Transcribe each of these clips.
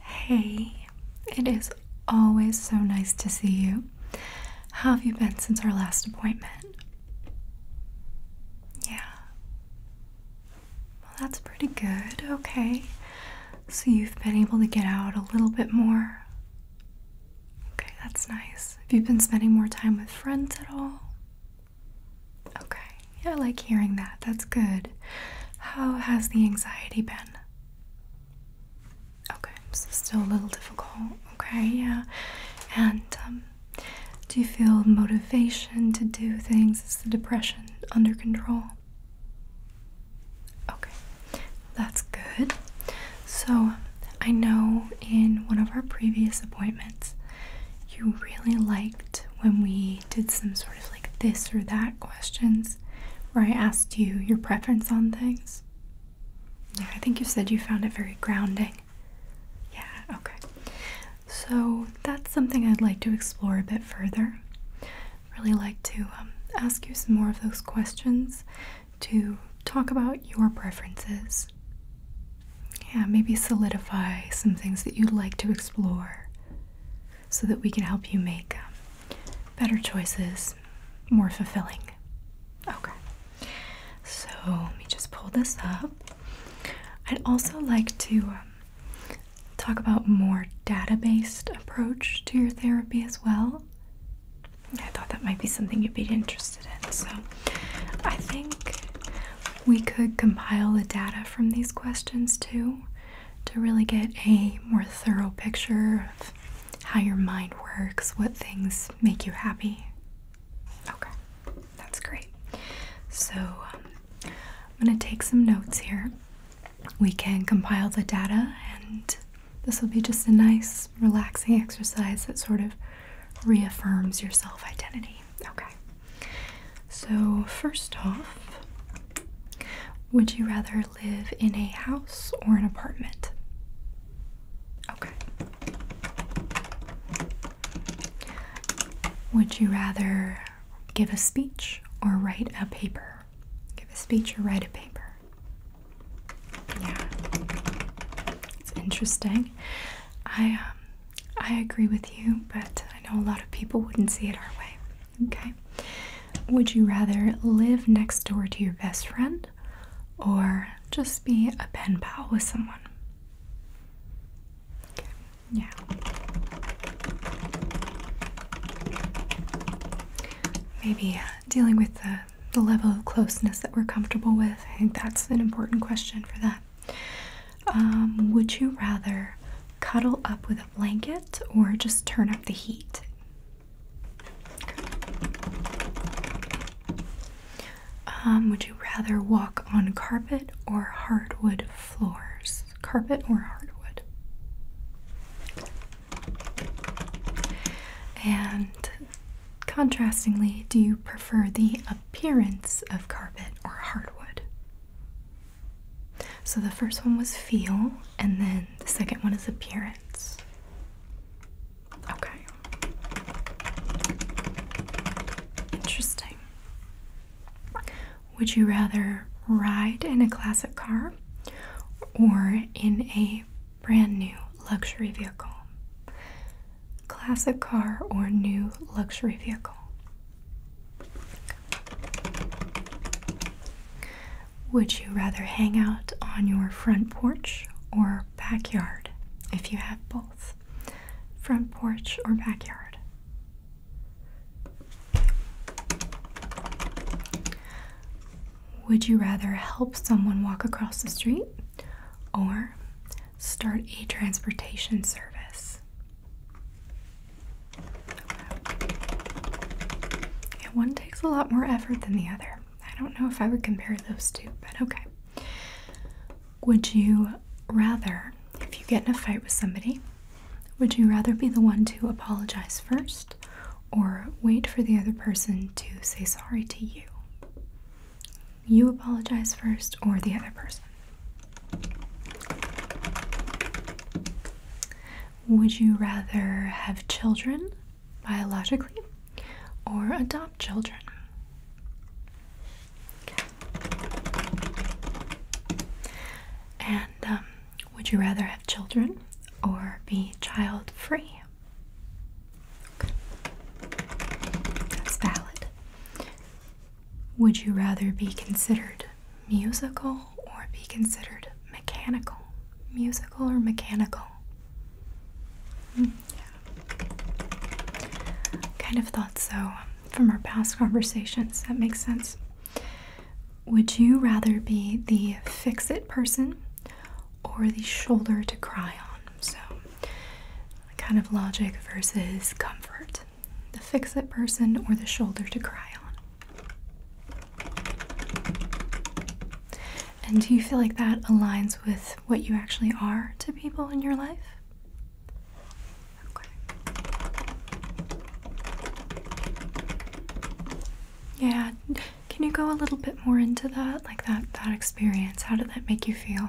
Hey, it is always so nice to see you. How have you been since our last appointment? Yeah. Well, that's pretty good. Okay. So you've been able to get out a little bit more. Okay, that's nice. Have you been spending more time with friends at all? Okay. I like hearing that. That's good. How has the anxiety been? Okay, still a little difficult. Okay, yeah. And um, do you feel motivation to do things? Is the depression under control? Okay, that's good. So, I know in one of our previous appointments, you really liked when we did some sort of like this or that questions where I asked you your preference on things. Yeah, I think you said you found it very grounding. Yeah, okay. So that's something I'd like to explore a bit further. Really like to um, ask you some more of those questions to talk about your preferences. Yeah, maybe solidify some things that you'd like to explore so that we can help you make um, better choices, more fulfilling. Okay. So let me just pull this up. I'd also like to um, talk about more data-based approach to your therapy as well. I thought that might be something you'd be interested in. So I think we could compile the data from these questions too to really get a more thorough picture of how your mind works, what things make you happy. Okay, that's great. So um, I'm going to take some notes here. We can compile the data, and this will be just a nice, relaxing exercise that sort of reaffirms your self identity. Okay. So, first off, would you rather live in a house or an apartment? Okay. Would you rather give a speech or write a paper? Give a speech or write a paper. Yeah. It's interesting. I um I agree with you, but I know a lot of people wouldn't see it our way. Okay. Would you rather live next door to your best friend or just be a pen pal with someone? Yeah. Maybe uh, dealing with the, the level of closeness that we're comfortable with. I think that's an important question for that. Um, would you rather cuddle up with a blanket or just turn up the heat. Um, would you rather walk on carpet or hardwood floors? Carpet or hardwood? And contrastingly, do you prefer the appearance of carpet or hardwood? So the first one was feel, and then the second one is appearance. Okay. Interesting. Would you rather ride in a classic car or in a brand new luxury vehicle? Classic car or new luxury vehicle? Would you rather hang out on your front porch or backyard if you have both? Front porch or backyard? Would you rather help someone walk across the street or start a transportation service? one takes a lot more effort than the other. I don't know if I would compare those two, but okay. Would you rather, if you get in a fight with somebody, would you rather be the one to apologize first or wait for the other person to say sorry to you? You apologize first or the other person? Would you rather have children biologically or adopt children? And um, would you rather have children or be child free? That's valid. Would you rather be considered musical or be considered mechanical? Musical or mechanical? Hmm, kind of thought so um, from our past conversations. That makes sense. Would you rather be the fix it person or the shoulder to cry on? So, kind of logic versus comfort. The fix it person or the shoulder to cry on. And do you feel like that aligns with what you actually are to people in your life? Yeah, can you go a little bit more into that? Like that that experience. How did that make you feel?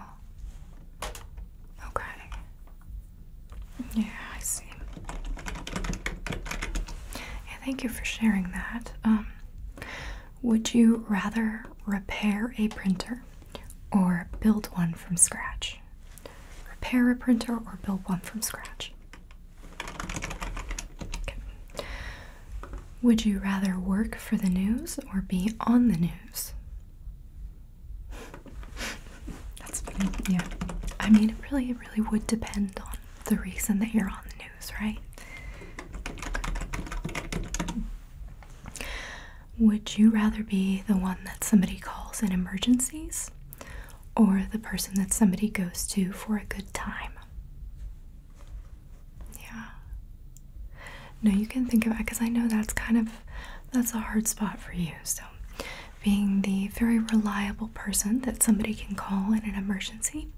Okay. Yeah, I see. thank you for sharing that. Um, would you rather repair a printer or build one from scratch? Repair a printer or build one from scratch? Would you rather work for the news or be on the news? That's funny. Yeah. I mean, it really, it really would depend on the reason that you're on the news, right? Would you rather be the one that somebody calls in emergencies or the person that somebody goes to for a good time? Yeah. No, you can think about it because I know that's kind of that's a hard spot for you. So being the very reliable person that somebody can call in an emergency,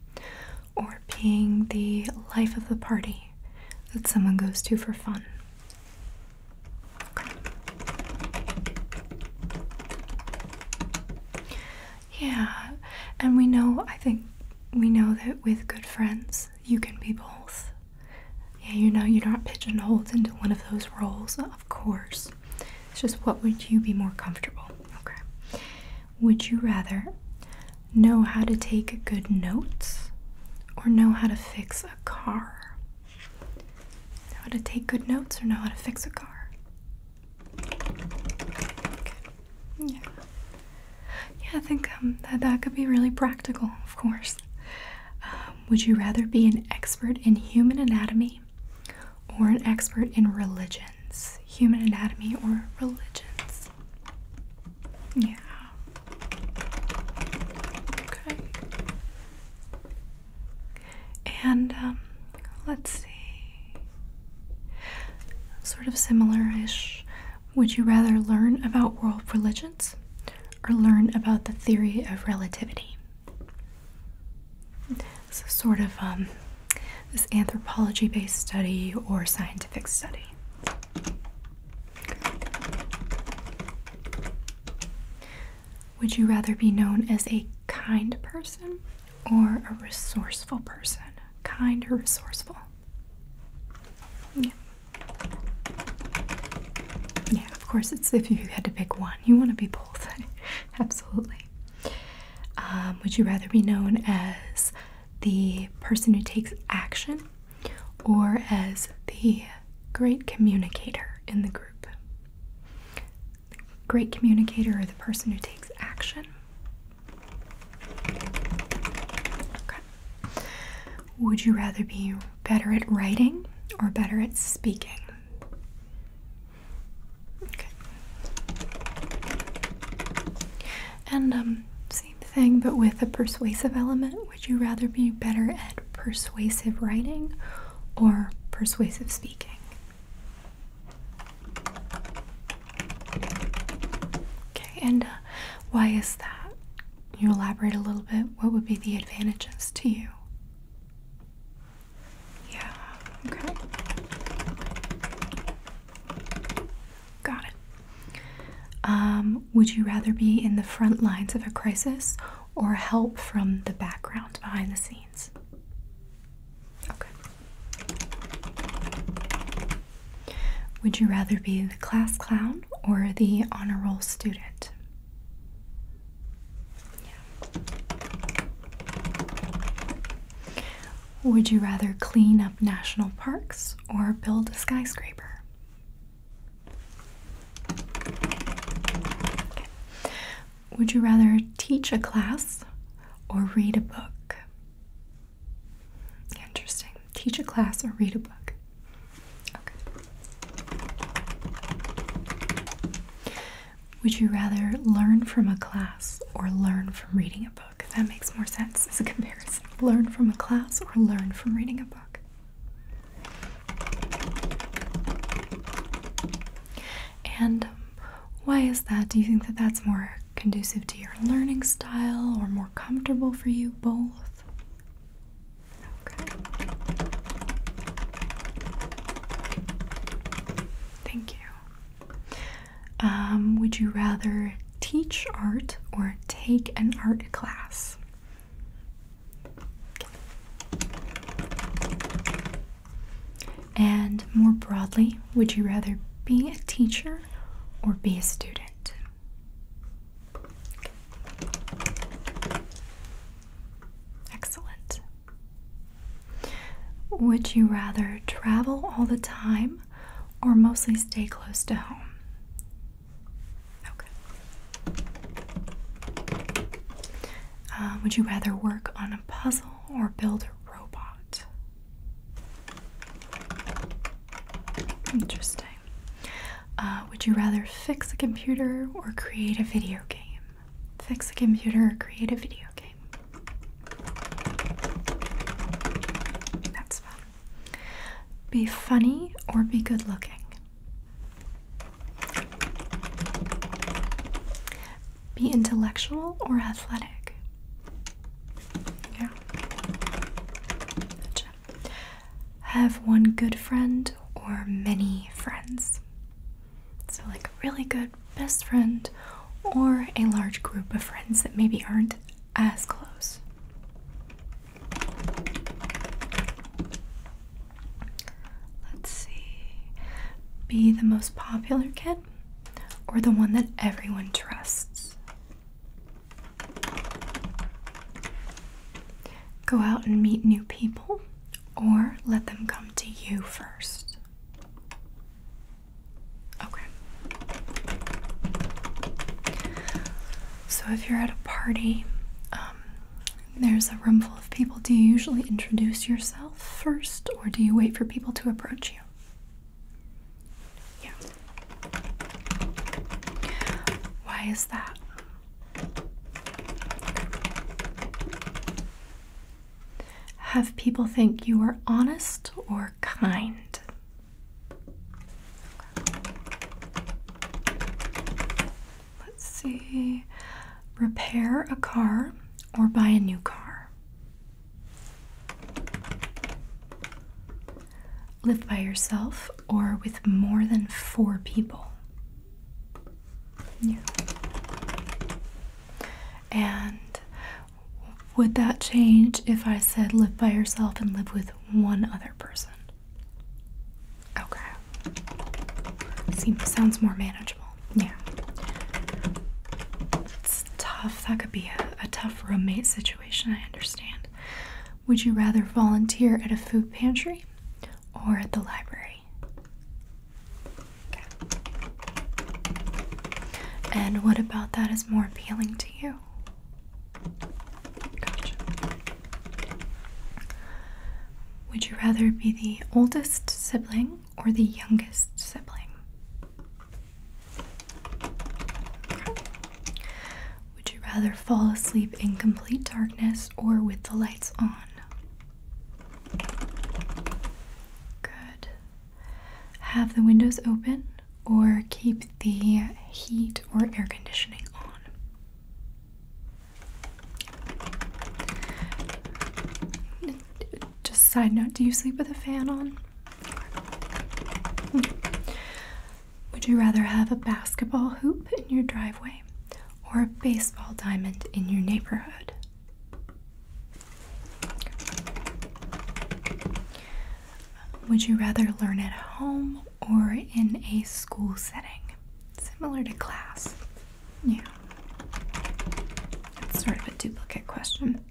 or being the life of the party that someone goes to for fun. Yeah, and we know, I think we know that with good friends, you can be both. Yeah, you know, you're not pigeonholed into one of those roles of of course. It's just what would you be more comfortable? Okay. Would you rather know how to take good notes or know how to fix a car? Know how to take good notes or know how to fix a car? Yeah. Yeah, I think um, that that could be really practical, of course. Um, would you rather be an expert in human anatomy or an expert in religions, human anatomy, or religions. Yeah. Okay. And um, let's see. Sort of similar ish. Would you rather learn about world religions or learn about the theory of relativity? This sort of um, this anthropology based study or scientific study. Would you rather be known as a kind person or a resourceful person? Kind or resourceful? Yeah. Yeah, of course, it's if you had to pick one. You want to be Absolutely. Um, would you rather be known as the person who takes action or as the great communicator in the group? great communicator or the person who takes action? Okay. Would you rather be better at writing or better at speaking? Okay. And um, same thing, but with a persuasive element. Would you rather be better at persuasive writing or persuasive speaking? Okay, and uh, why is that? you elaborate a little bit? What would be the advantages to you? Yeah, okay. Got it. Um, would you rather be in the front lines of a crisis or help from the background behind the scenes? Okay. Would you rather be the class clown or the honor roll student? Would you rather clean up national parks or build a skyscraper? Would you rather teach a class or read a book? Interesting. Teach a class or read a book. Would you rather learn from a class or learn from reading a book? That makes more sense as a comparison. Learn from a class or learn from reading a book. And um, why is that? Do you think that that's more conducive to your learning style or more comfortable for you? Both? Okay. Thank um, would you rather teach art or take an art class? And more broadly, would you rather be a teacher or be a student? Excellent. Would you rather travel all the time or mostly stay close to home? Okay. Uh, would you rather work on a puzzle or build a robot? Interesting. Uh, would you rather fix a computer or create a video game? fix a computer or create a video game. That's fun. Be funny or be good looking. Be intellectual or athletic. Yeah. Have one good friend or many friends. So, like a really good best friend or a large group of friends that maybe aren't as close. Let's see. Be the most popular kid or the one that everyone trusts. Go out and meet new people or let them come to you first. Okay. So if you're at a party, um, there's a room full of people. Do you usually introduce yourself first, or do you wait for people to approach you? Yeah. Why is that? have people think you are honest or kind? Let's see. Repair a car or buy a new car? Live by yourself or with more than four people? Yeah. And would that change if I said live by yourself and live with one other person? Okay. Seems sounds more manageable. Yeah. It's tough. That could be a, a tough roommate situation, I understand. Would you rather volunteer at a food pantry or at the library? And what about that is more appealing to you? Would you rather be the oldest sibling or the youngest sibling? Would you rather fall asleep in complete darkness or with the lights on? Good have the windows open or keep the heat or air conditioning on. Just side note, do you sleep with a fan on? Would you rather have a basketball hoop in your driveway or a baseball diamond in your neighborhood? Would you rather learn at home or in a school setting? Similar to class. Yeah. It's sort of a duplicate question.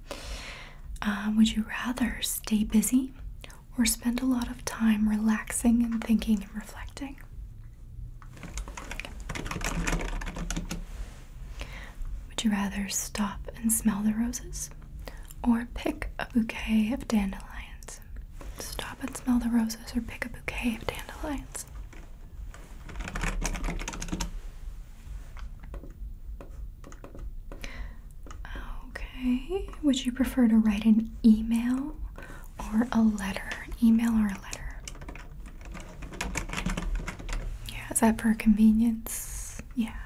Uh, would you rather stay busy or spend a lot of time relaxing and thinking and reflecting? Would you rather stop and smell the roses or pick a bouquet of dandelions? Stop and smell the roses or pick a bouquet of dandelions? Okay, would you prefer to write an email or a letter? email or a letter? Yeah, is that for convenience? Yeah.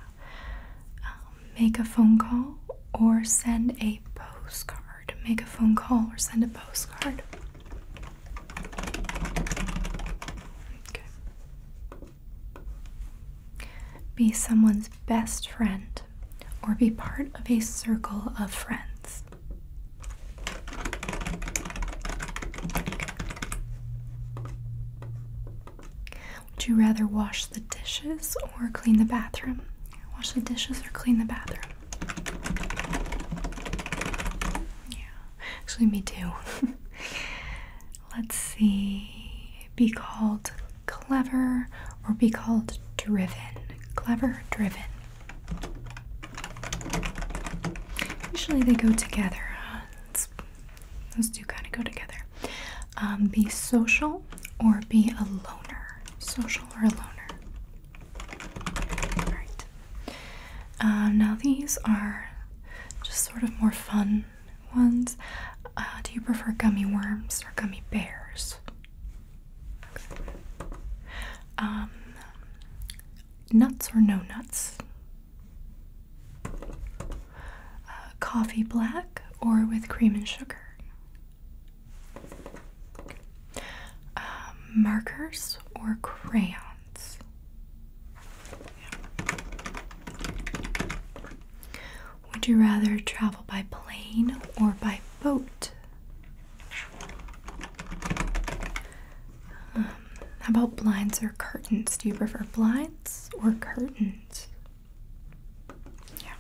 Um, make a phone call or send a postcard. Make a phone call or send a postcard. Okay. Be someone's best friend or be part of a circle of friends. Would you rather wash the dishes or clean the bathroom? Wash the dishes or clean the bathroom? Yeah, actually, me too. Let's see. Be called clever or be called driven. Clever, driven. Usually they go together, those two kind of go together. Um, be social or be a loner. Social or a loner. All right. Uh, now these are just sort of more fun ones. Uh, do you prefer gummy worms or gummy bears? Um, nuts or no nuts? Uh, coffee black or with cream and sugar. Um, markers or crayons. Would you rather travel by plane or by boat? Hmm how about blinds or curtains? Do you prefer blinds or curtains? Yeah.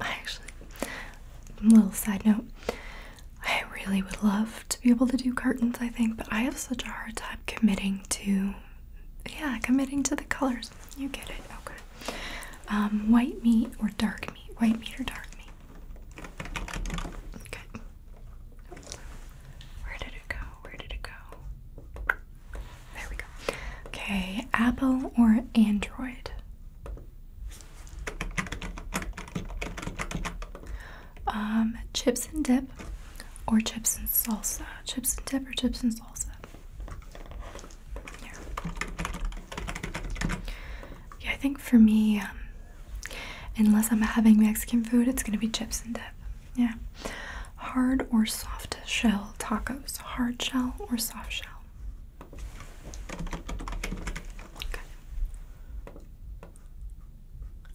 I actually, little side note, I really would love to be able to do curtains, I think, but I have such a hard time committing to, yeah, committing to the colors. You get it, okay. Um, white meat or dark meat? White meat or dark meat? Okay. Where did it go? Where did it go? There we go. Okay, Apple or Android? Um, chips and dip or chips and salsa? Chips and dip or chips and salsa? Yeah, yeah I think for me, um, Unless I'm having Mexican food, it's gonna be chips and dip. Yeah. Hard or soft shell tacos. Hard shell or soft shell.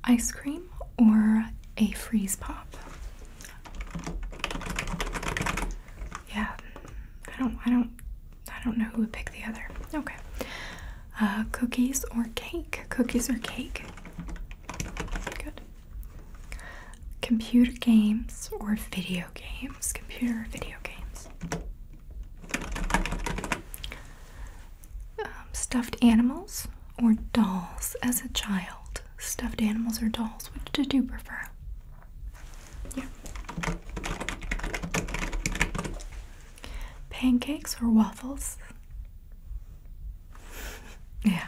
Ice cream or a freeze pop. Yeah. I don't I don't I don't know who would pick the other. Okay. Uh, cookies or cake? Cookies or cake? Good. Computer games or video games? Computer or video games? Um, stuffed animals or dolls as a child? Stuffed animals or dolls? Which did you prefer? Yeah. Pancakes or waffles? yeah,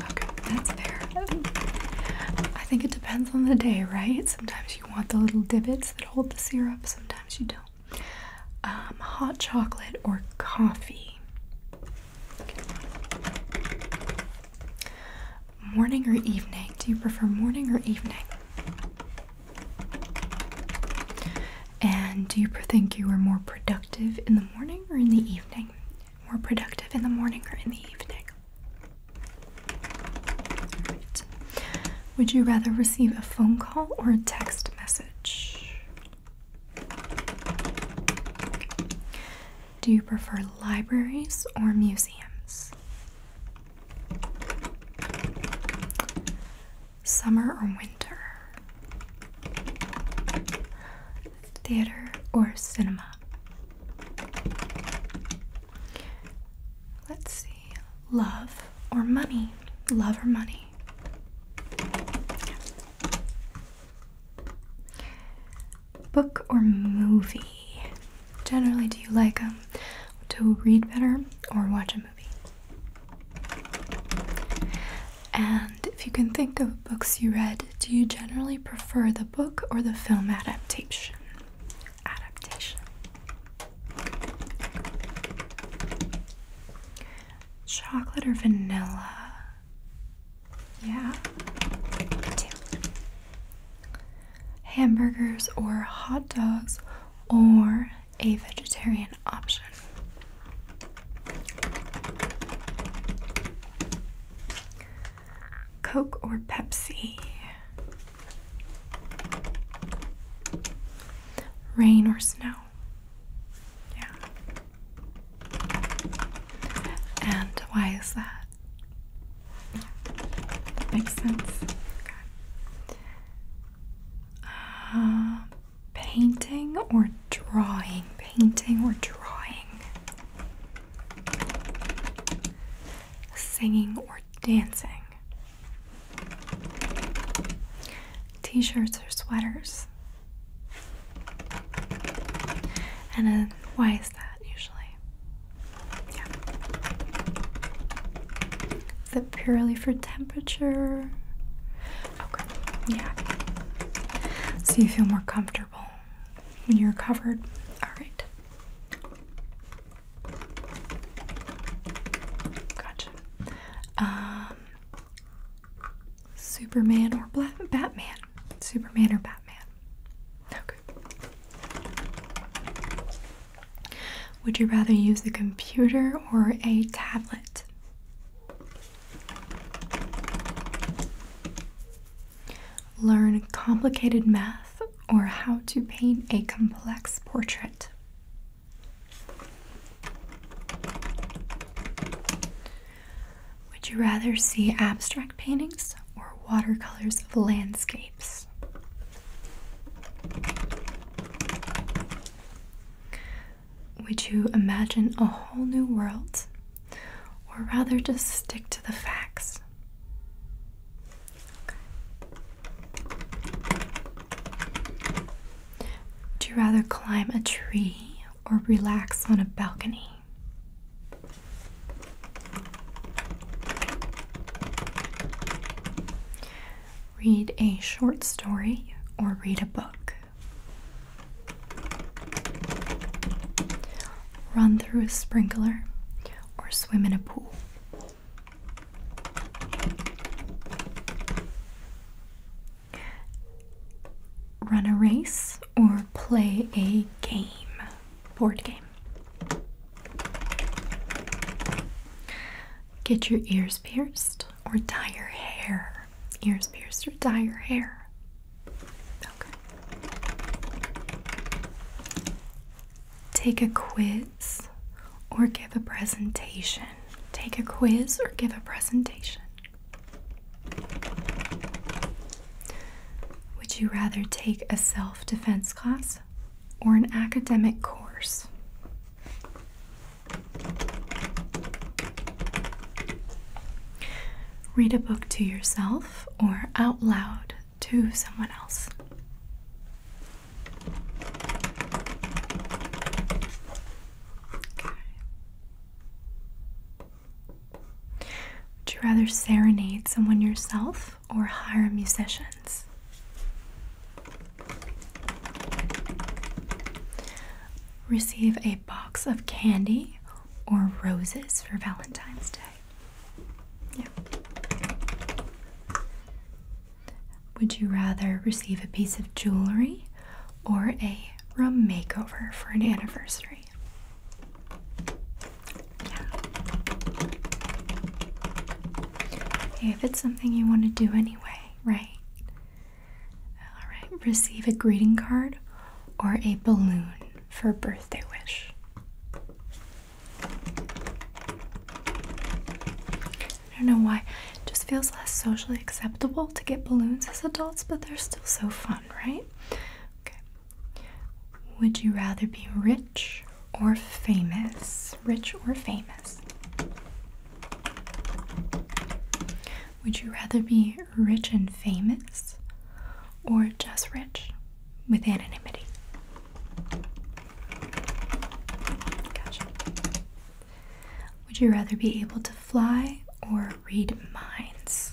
okay, that's fair. I think it depends on the day, right? Sometimes you want the little divots that hold the syrup, sometimes you don't. Um, hot chocolate or coffee? Morning or evening? Do you prefer morning or evening? And do you think you are more productive in the morning or in the evening? More productive in the morning or in the evening? Would you rather receive a phone call or a text message? Do you prefer libraries or museums? Summer or winter? Theater or cinema? Let's see. Love or money? Love or money? Book or movie? Generally, do you like um, to read better or watch a movie? And if you can think of books you read, do you generally prefer the book or the film adaptation? Chocolate or vanilla? Yeah. Hamburgers or hot dogs or a vegetarian option. Coke or Pepsi? Rain or snow? Yeah. And why is that? Makes sense. Uh, painting or drawing? Painting or drawing? Singing or dancing? T shirts or sweaters? And then why is that usually? purely for temperature. Okay, yeah. So you feel more comfortable when you're covered. All right. Gotcha. Um, Superman or Batman? Superman or Batman? Okay. Would you rather use a computer or a tablet? Learn complicated math or how to paint a complex portrait. Would you rather see abstract paintings or watercolors of landscapes? Would you imagine a whole new world? Or rather, just stick to the facts? Okay. Would you rather climb a tree or relax on a balcony? read a short story, or read a book. Run through a sprinkler, or swim in a pool. Run a race or play a game, board game. Get your ears pierced or dye your hair. Ears pierced or dye your hair. Okay. Take a quiz or give a presentation. Take a quiz or give a presentation. Would you rather take a self defense class or an academic course? Read a book to yourself or out loud to someone else. Would you rather serenade someone yourself or hire musicians? Receive a box of candy or roses for Valentine's Day. Yeah. Would you rather receive a piece of jewelry or a room makeover for an anniversary? Yeah. if it's something you want to do anyway, right? Alright, receive a greeting card or a balloon for a birthday wish. I don't know why. It just feels less socially acceptable to get balloons as adults, but they're still so fun, right? Okay. Would you rather be rich or famous? Rich or famous? Would you rather be rich and famous or just rich with anonymity? Would you rather be able to fly or read minds?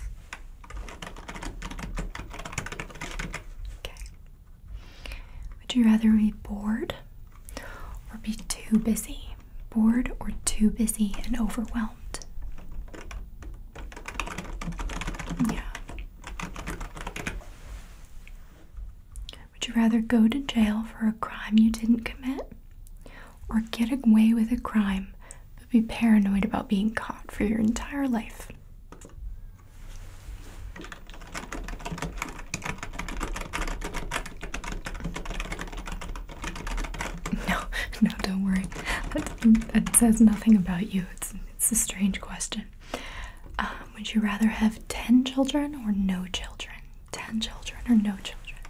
Would you rather be bored or be too busy? Bored or too busy and overwhelmed? Yeah. Would you rather go to jail for a crime you didn't commit or get away with a crime but be paranoid about being caught for your entire life? No, no, don't worry. That, says nothing about you. It's, it's a strange question. Um, would you rather have 10 children or no children? 10 children or no children?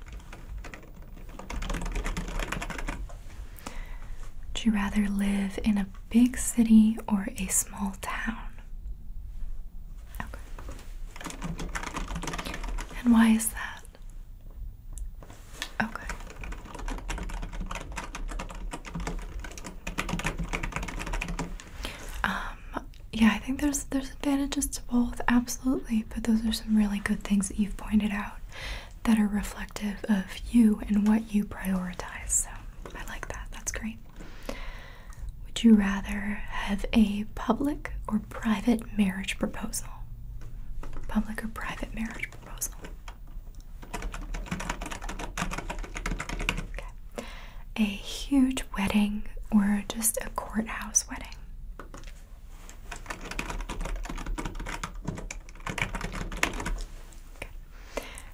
Would you rather live in a big city or a small town? And why is that? Okay. Um yeah, I think there's there's advantages to both, absolutely, but those are some really good things that you've pointed out that are reflective of you and what you prioritize. So, I like that. That's great. Would you rather have a public or private marriage proposal? Public or private marriage proposal? Okay. A huge wedding or just a courthouse wedding? Okay.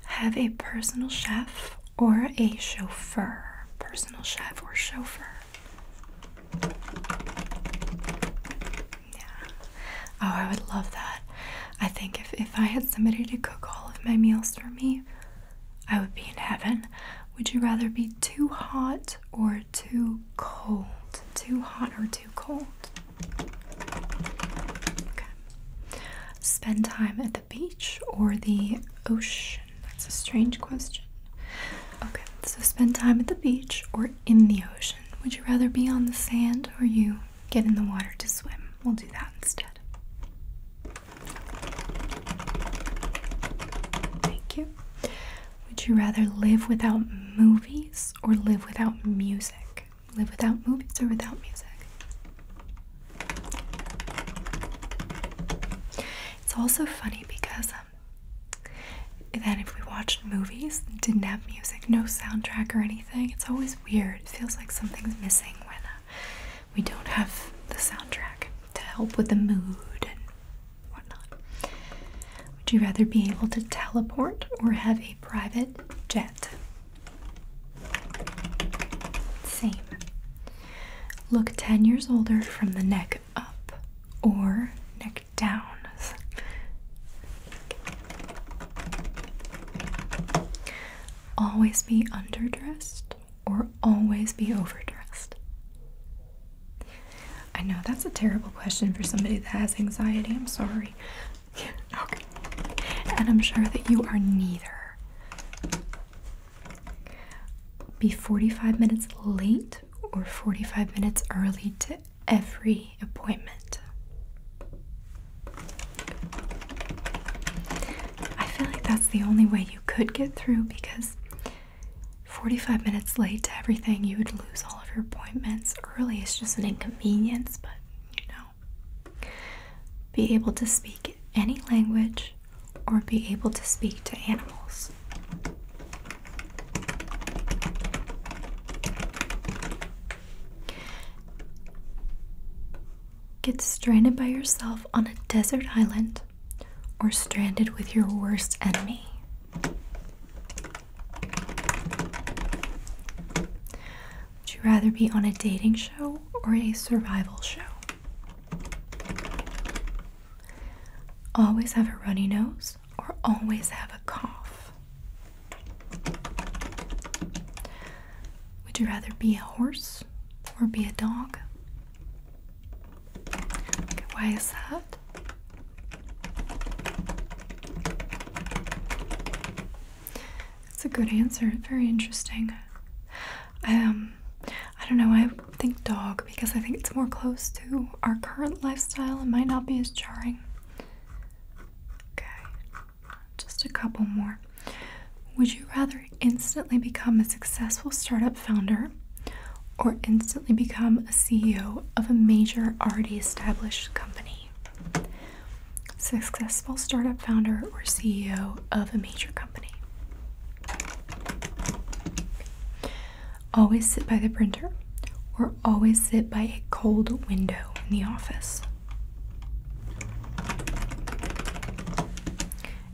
Have a personal chef or a chauffeur? Personal chef or chauffeur? Yeah. Oh, I would love that. I think if, if I had somebody to cook all of my meals for me, I would be in heaven. Would you rather be too hot or too cold? Too hot or too cold? Okay. Spend time at the beach or the ocean? That's a strange question. Okay, so spend time at the beach or in the ocean. Would you rather be on the sand or you get in the water to swim? We'll do that instead. Thank you. Would you rather live without movies or live without music? Live without movies or without music? It's also funny because then if we watched movies didn't have music, no soundtrack or anything, it's always weird. It feels like something's missing when uh, we don't have the soundtrack to help with the mood and whatnot. Would you rather be able to teleport or have a private jet? Same. Look 10 years older from the neck up or neck down. Always be underdressed or always be overdressed. I know that's a terrible question for somebody that has anxiety. I'm sorry. okay. And I'm sure that you are neither be 45 minutes late or 45 minutes early to every appointment. I feel like that's the only way you could get through because 45 minutes late to everything, you would lose all of your appointments. Early is just an inconvenience, but you know, be able to speak any language or be able to speak to animals. Get stranded by yourself on a desert island or stranded with your worst enemy. Would you rather be on a dating show or a survival show? Always have a runny nose or always have a cough? Would you rather be a horse or be a dog? why is that? That's a good answer. Very interesting. Um, I don't know. I think dog because I think it's more close to our current lifestyle. and might not be as jarring. Okay, just a couple more. Would you rather instantly become a successful startup founder or instantly become a CEO of a major already established company? Successful startup founder or CEO of a major company? Always sit by the printer or always sit by a cold window in the office.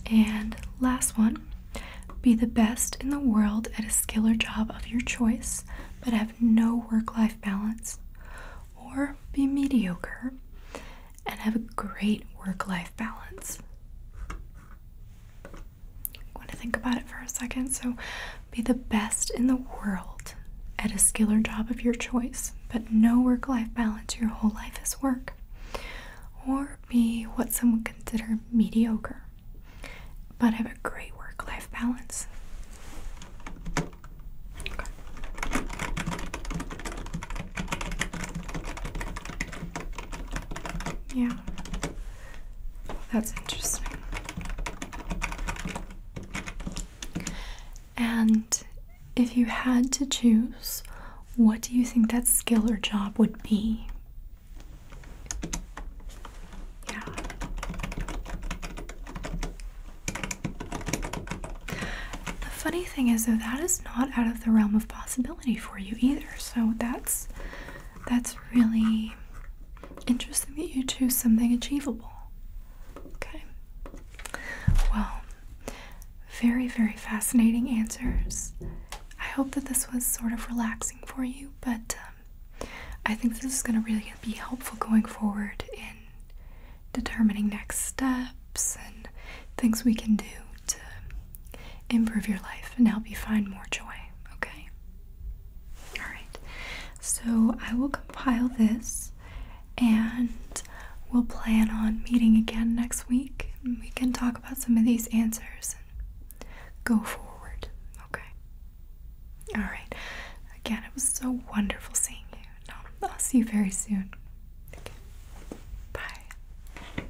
And last one be the best in the world at a skill or job of your choice, but have no work life balance. Or be mediocre and have a great work life balance. I want to think about it for a second. So, be the best in the world at a skill or job of your choice, but no work life balance. Your whole life is work. Or be what someone would consider mediocre, but have a great work life balance. Yeah. That's interesting. And if you had to choose, what do you think that skill or job would be? Yeah. The funny thing is, though, that is not out of the realm of possibility for you either. So that's that's really interesting that you choose something achievable. Okay. Well, very, very fascinating answers. I hope that this was sort of relaxing for you, but um, I think this is going to really be helpful going forward in determining next steps and things we can do to improve your life and help you find more joy, okay? Alright, so I will compile this and we'll plan on meeting again next week. we can talk about some of these answers and go forward, okay? Alright, again, it was so wonderful seeing you. I'll see you very soon. Bye.